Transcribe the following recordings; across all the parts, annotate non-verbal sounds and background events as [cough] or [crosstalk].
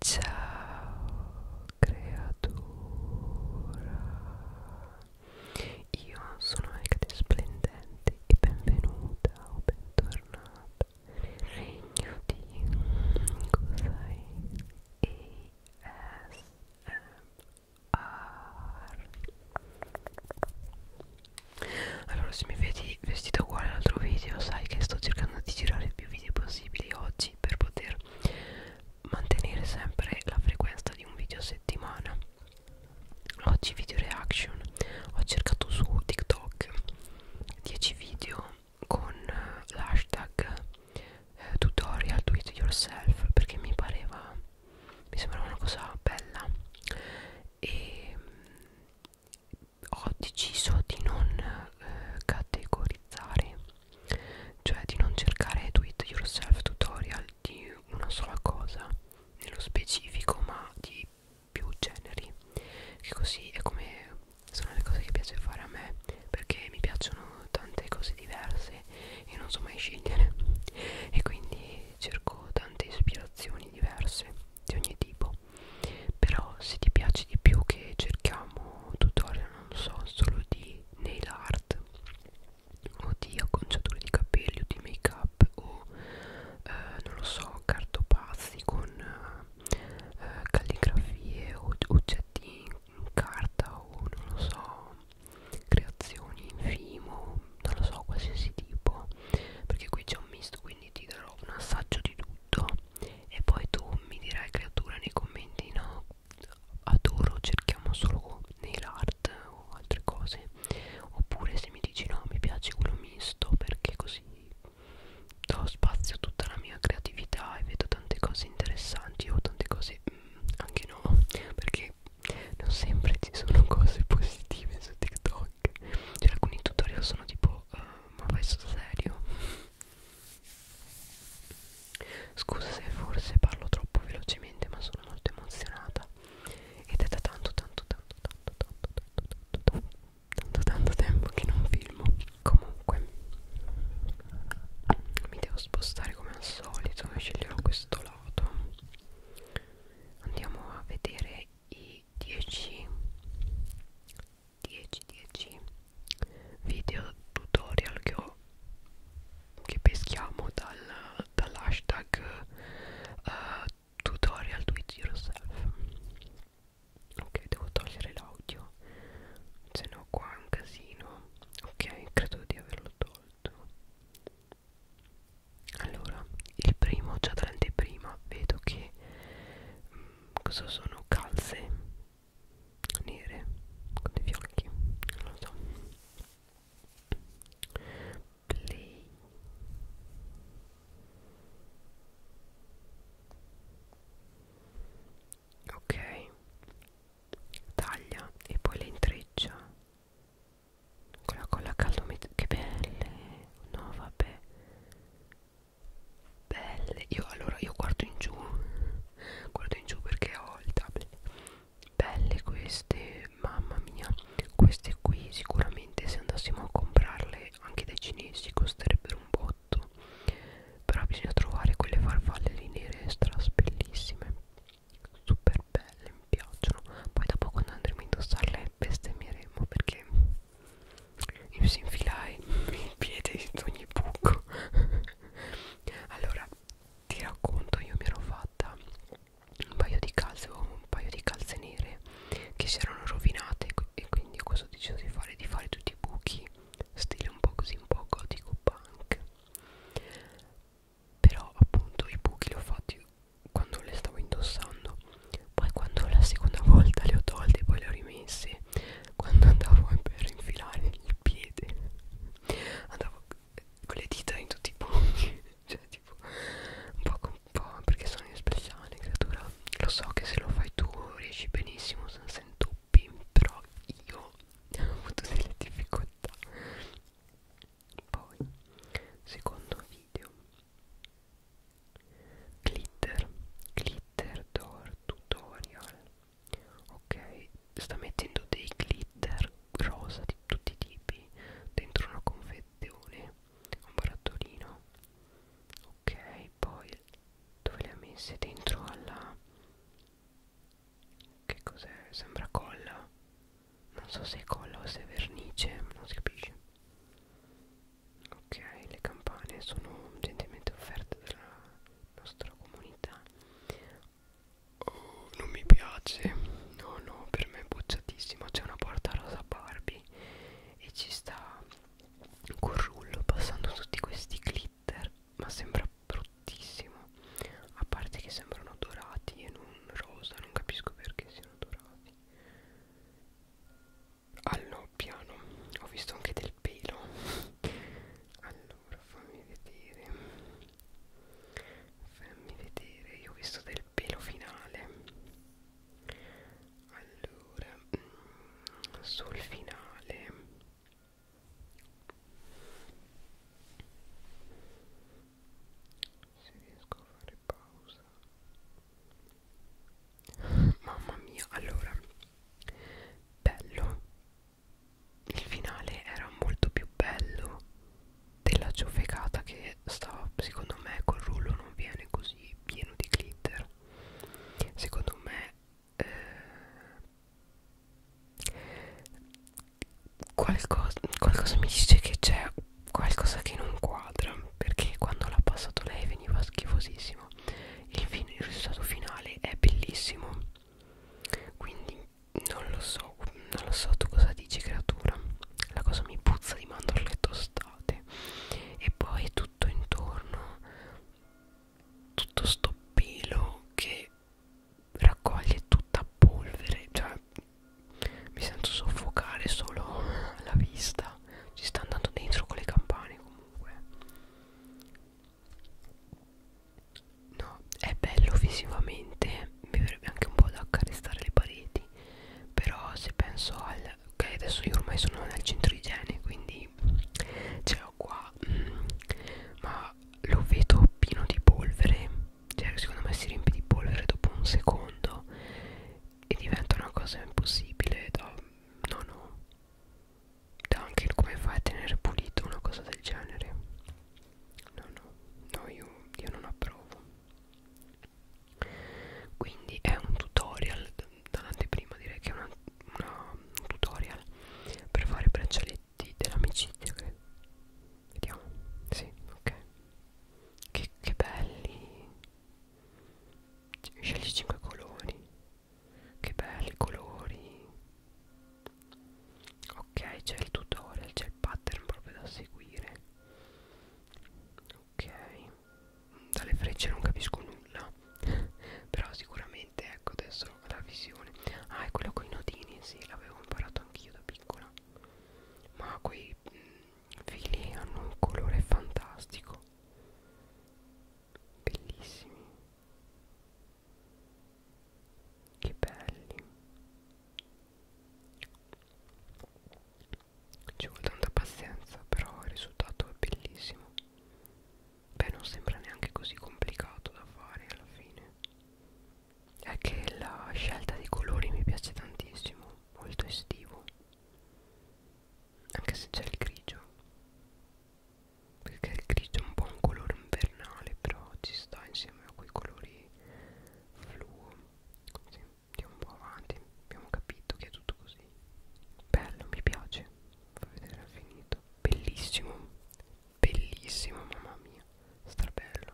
Ciao creatura, io sono Ecate Splendente e benvenuta o bentornata nel regno di Cosai ASMR Allora se mi vedi vestito uguale all'altro video sai che sto cercando di girare più video possibili possibili oggi per poter mantenere sempre la frequenza di un video a settimana oggi video reaction ho cercato su TikTok 10 video con eh, l'hashtag eh, tutorial do it yourself perché mi pareva mi sembrava una cosa bella e ho deciso di non eh, categorizzare cioè di non cercare do it yourself tutorial di una sola cosa nello specifico ma di più generi che così è come sono le cose che piace fare a me perché mi piacciono tante cose diverse e non so mai scegliere [laughs] e quindi cerco tante ispirazioni diverse di ogni tipo però se ti piace di più che cerchiamo tutorial non so solo di nail art o di acconciature di capelli o di make up o eh, non lo so cartopazzi con eh, calligrafie o oggetti in carta o non lo so creazioni in fimo non lo so qualsiasi tipo perché qui c'è un misto quindi ti darò un assaggio di tutto e poi tu mi dirai creatura nei commenti no adoro cerchiamo solo nail art o altre cose oppure se mi dici no mi piace quello misto perché così do spazio a tutta la mia creatività e vedo tante cose interessanti o tante cose mm, anche no perché non sempre ci sono cose positive su TikTok cioè alcuni tutorial sono tipo uh, ma vai sul serio? Scusa se forse parlo troppo velocemente ma sono molto emozionata ed è da tanto tanto tanto tanto tanto tanto tanto tanto tanto tempo che non filmo comunque mi devo spostare come al solito sceglierò questo lato andiamo a vedere i 10 10 10 video tutorial che ho che peschiamo dal, dall'hashtag uh, tutorial do it yourself ok devo togliere l'audio se no qua è un casino ok credo di averlo tolto allora il primo già dall'anteprima vedo che mh, mm, cosa sono calze nere con dei fiocchi non lo so play ok taglia e poi le intreccia con la colla caldo che belle no vabbè belle io allora io guardo in giù guardo in giù perché ho il tablet belle queste mamma mia queste qui sicuramente se andassimo a comprarle anche dai cinesi costerebbero un botto però bisogna trovare quelle farfalle lì nere stras bellissime super belle mi piacciono poi dopo quando andremo a indossarle bestemmeremo perché io si infilai il piede in ogni buco. allora, ti racconto, io mi ero fatta un paio di calze, un paio di calze nere che si erano rovinate e quindi cosa ho deciso di fare? Di fare tutti i buchi, stile un po' così, un po' gotico punk. Però appunto i buchi li ho fatti quando le stavo indossando poi quando la seconda volta le ho tolte poi le ho rimesse quando andavo per infilare il piede andavo con le dita in tutti i punti [laughs] cioè tipo un po', con, un po perché sono speciale creatura lo so che se lo fai tu riesci benissimo senza intoppi però io [laughs] ho avuto delle difficoltà poi secondo video glitter glitter door tutorial ok sta mettendo dei glitter rosa di tutti i tipi dentro una confezione un barattolino ok poi dove le ha messe dentro alla che cos'è sembra colla non so se è colla o se è vernice non si capisce ok le campane sono gentilmente offerte dalla nostra comunità oh, non mi piace no no per me è bocciatissimo c'è una porta rosa Barbie e ci sta col rullo passando tutti questi glitter ma sembra bruttissimo a parte che sembrano dorati e non rosa non capisco perché siano dorati al no piano ho visto anche del pelo [laughs] allora fammi vedere fammi vedere io ho visto del pelo finale allora mm, sul finale se riesco a fare pausa Mamma mia, allora bello. Il finale era molto più bello della ciofecata che stava, secondo me, col rullo non viene così pieno di glitter. Secondo me eh, qualcosa, qualcosa mi dice che c'è qualcosa che non quadra perché quando l'ha passato lei veniva schifosissimo il, fin il risultato finale è bellissimo quindi non lo so non lo so tu cosa dici creatura la cosa mi puzza di mandorle tostate e poi tutto intorno tutto sto pelo che raccoglie tutta polvere cioè cioè mi sento soffocare solo alla vista ci sta andando dentro con le campane comunque no è bello visivamente mi verrebbe anche un po' da accarezzare le pareti però se penso al ok adesso io ormai sono nel centro igiene quindi ce l'ho qua mm, ma lo vedo pieno di polvere cioè secondo me si riempie di polvere dopo un secondo e diventa una cosa impossibile da no no da anche il come fai a tenere pulito una cosa del genere no no no io, io non approvo quindi è un tutorial dall'anteprima direi che è una, una, un tutorial per fare braccialetti dell'amicizia che vediamo sì ok che, che belli cioè, scegli 5 colori. Che belli colori. Ok, c'è il tutorial, c'è il pattern proprio da seguire. Ok. Dalle frecce non capisco nulla. [laughs] Però sicuramente ecco adesso la visione. Ah, è quello con i nodini, sì, l'avevo imparato anch'io da piccola. Ma quei mh, mm, fili hanno un colore fantastico bellissimi che belli ci vuole tanta pazienza però il risultato è bellissimo beh non sembra neanche così complicato da fare alla fine è che la scelta dei colori mi piace tantissimo molto estivo anche se c'è il grigio perché il grigio è un po' un colore invernale però ci sta insieme a quei colori fluo sì, andiamo un po' avanti abbiamo capito che è tutto così bello mi piace fa vedere al finito bellissimo bellissimo mamma mia strabello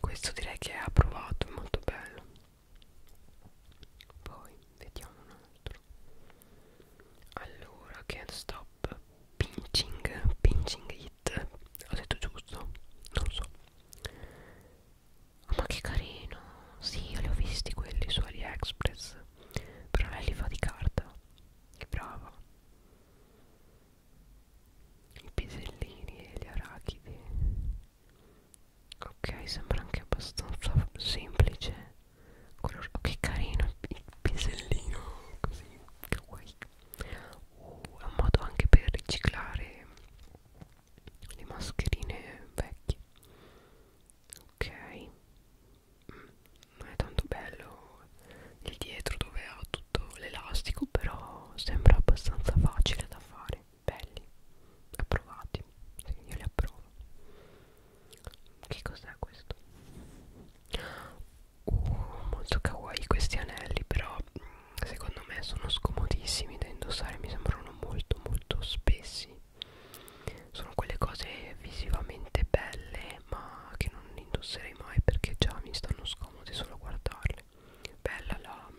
questo direi che è approvato è molto bello poi vediamo un altro allora can't stop pinching pinching it ho detto giusto non so oh, ma che carino sì io li ho visti quelli su AliExpress però lei li fa di carta che brava i pisellini e gli arachidi ok sembra anche abbastanza semplice Color oh, che carino il pisellino così kawaii oh, è un modo anche per riciclare le mascherine vecchie ok mm, non è tanto bello il dietro dove ha tutto tutto l'elastico però sembra abbastanza facile da fare belli approvati sì, io li approvo che cos'è questo? Uh, molto kawaii questi anelli però mm, secondo me sono scomodissimi da indossare mi sembrano molto molto spessi sono quelle cose visivamente belle ma che non indosserei mai perché già mi stanno scomode solo a guardarle male bella la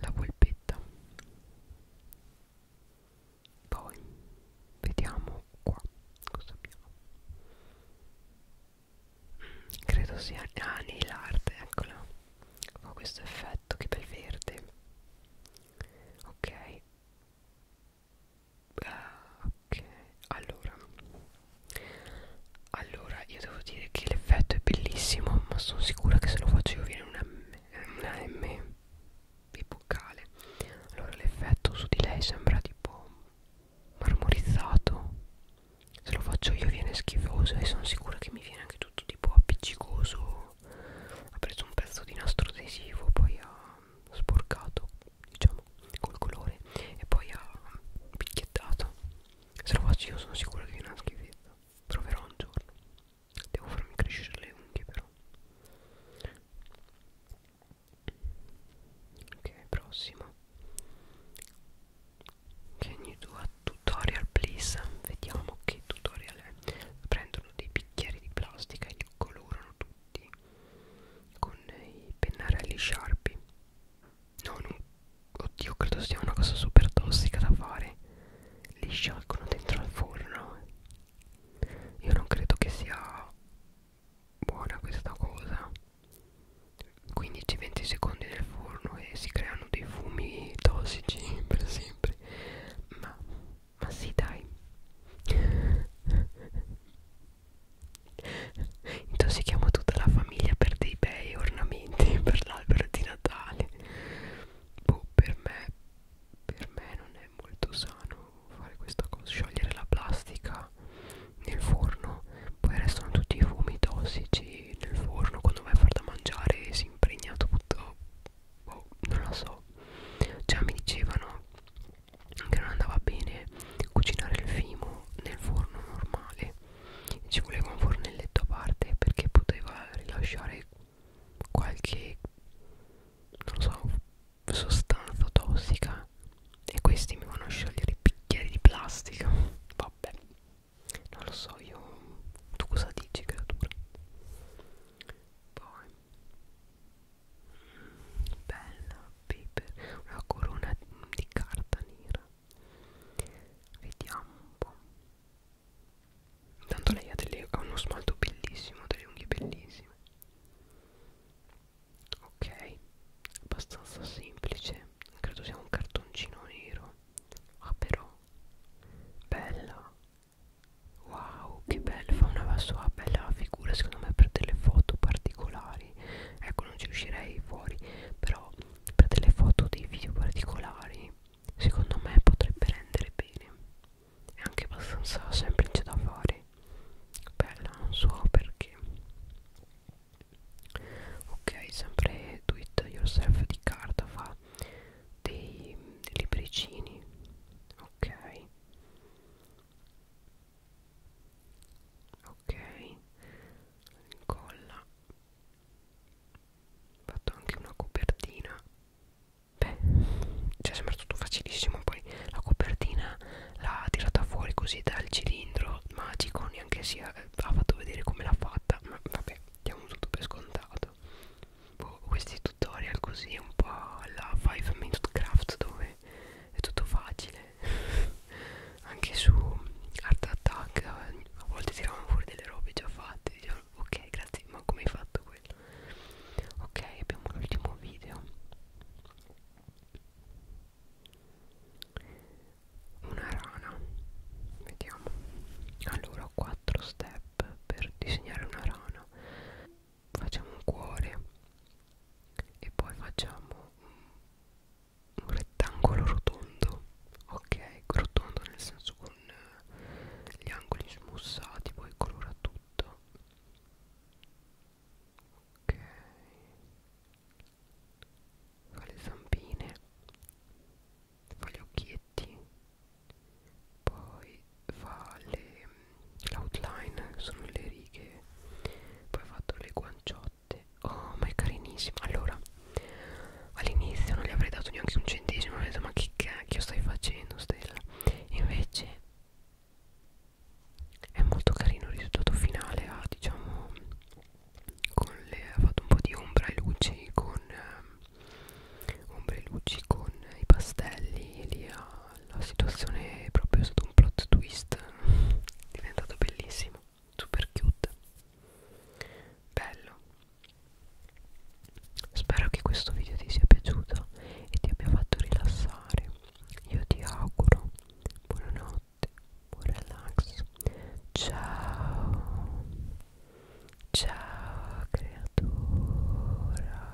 la polpetta poi vediamo qua cosa abbiamo credo sia ah, nail'arte eccola ho questo effetto che bel verde ok ok allora allora io devo dire che l'effetto è bellissimo ma sono sicura che se lo faccio io viene una M, una M di boccale allora l'effetto su di lei sembra tipo marmorizzato se lo faccio io viene schifoso e sono sicura che mi viene anche tutto tipo appiccicoso ha preso un pezzo di nastro adesivo poi ha sporcato diciamo col colore e poi ha picchiettato se lo faccio io sono sicuro che è una schifezza proverò un giorno devo farmi crescere le unghie però ok prossimo can you do a tutorial please vediamo che tutorial è prendono dei bicchieri di plastica e li colorano tutti con i pennarelli sharpie No, non... Oddio, credo sia una cosa super tossica da fare. Li sciolgono dentro al forno. Io non credo che sia buona questa cosa. 15-20 secondi nel forno e si creano dei fumi tossici [laughs] per sempre. Ma, ma sì, dai. [laughs] Intossichiamo tutta la famiglia per dei bei ornamenti [laughs] per l'albero di Natale. Boh, per me, per me non è molto sano fare questa cosa, sciogliere la plastica nel forno, poi restano tutti i fumi tossici nel forno quando vai a far da mangiare si impregna tutto. Boh, non lo so. Già mi dicevano che non andava bene cucinare il fimo nel forno normale ci voleva un fornelletto a parte perché poteva rilasciare qualche non so sostanza tossica e questi mi vanno a sciogliere i bicchieri di plastica vabbè non lo so io tu cosa dici creatura poi bella paper una corona di carta nera vediamo un po' tanto lei ha, delle, ha uno smalto bellissimo delle unghie bellissime ok abbastanza semplice credo sia un cartoncino nero ah però bella wow che bella fa una sua bella figura secondo me per delle foto particolari particolari ecco non ci uscirei fuori però per delle foto dei video particolari secondo me potrebbe rendere bene è anche abbastanza semplice da fare bella non so perché ok sempre do it yourself di carta fa dei, dei libricini ok ok incolla ho fatto anche una copertina beh cioè sembra tutto facilissimo poi la copertina l'ha tirata fuori così dal cilindro magico neanche si ha fatto vedere come l'ha fatta ma vabbè diamo tutto per scontato boh, questi tutorial così un po' alla 5 minute craft dove comunque è tutto facile [laughs] anche su Art Attack eh, a volte tiravano fuori delle robe già fatte dicevano ok grazie ma come hai fatto quello ok abbiamo l'ultimo video una rana vediamo allora 4 step per disegnare una rana facciamo un cuore e poi facciamo un, un rettangolo rotondo ok rotondo nel senso con eh, gli angoli smussati poi colora tutto ok fa le zampine fa gli occhietti poi fa l'outline sono le righe poi ho fatto le guanciotte oh ma è carinissima allora all'inizio non gli avrei dato neanche un centesimo ho detto ma che cacchio stai facendo stella invece è molto carino il risultato finale ha diciamo con le, ha fatto un po' di ombra e luci con eh, ombre e luci con i pastelli e li ha la situazione è proprio stato un plot twist diventato bellissimo super cute bello spero che questo video ti sia piaciuto e ti abbia fatto rilassare io ti auguro buonanotte buon relax ciao ciao creatura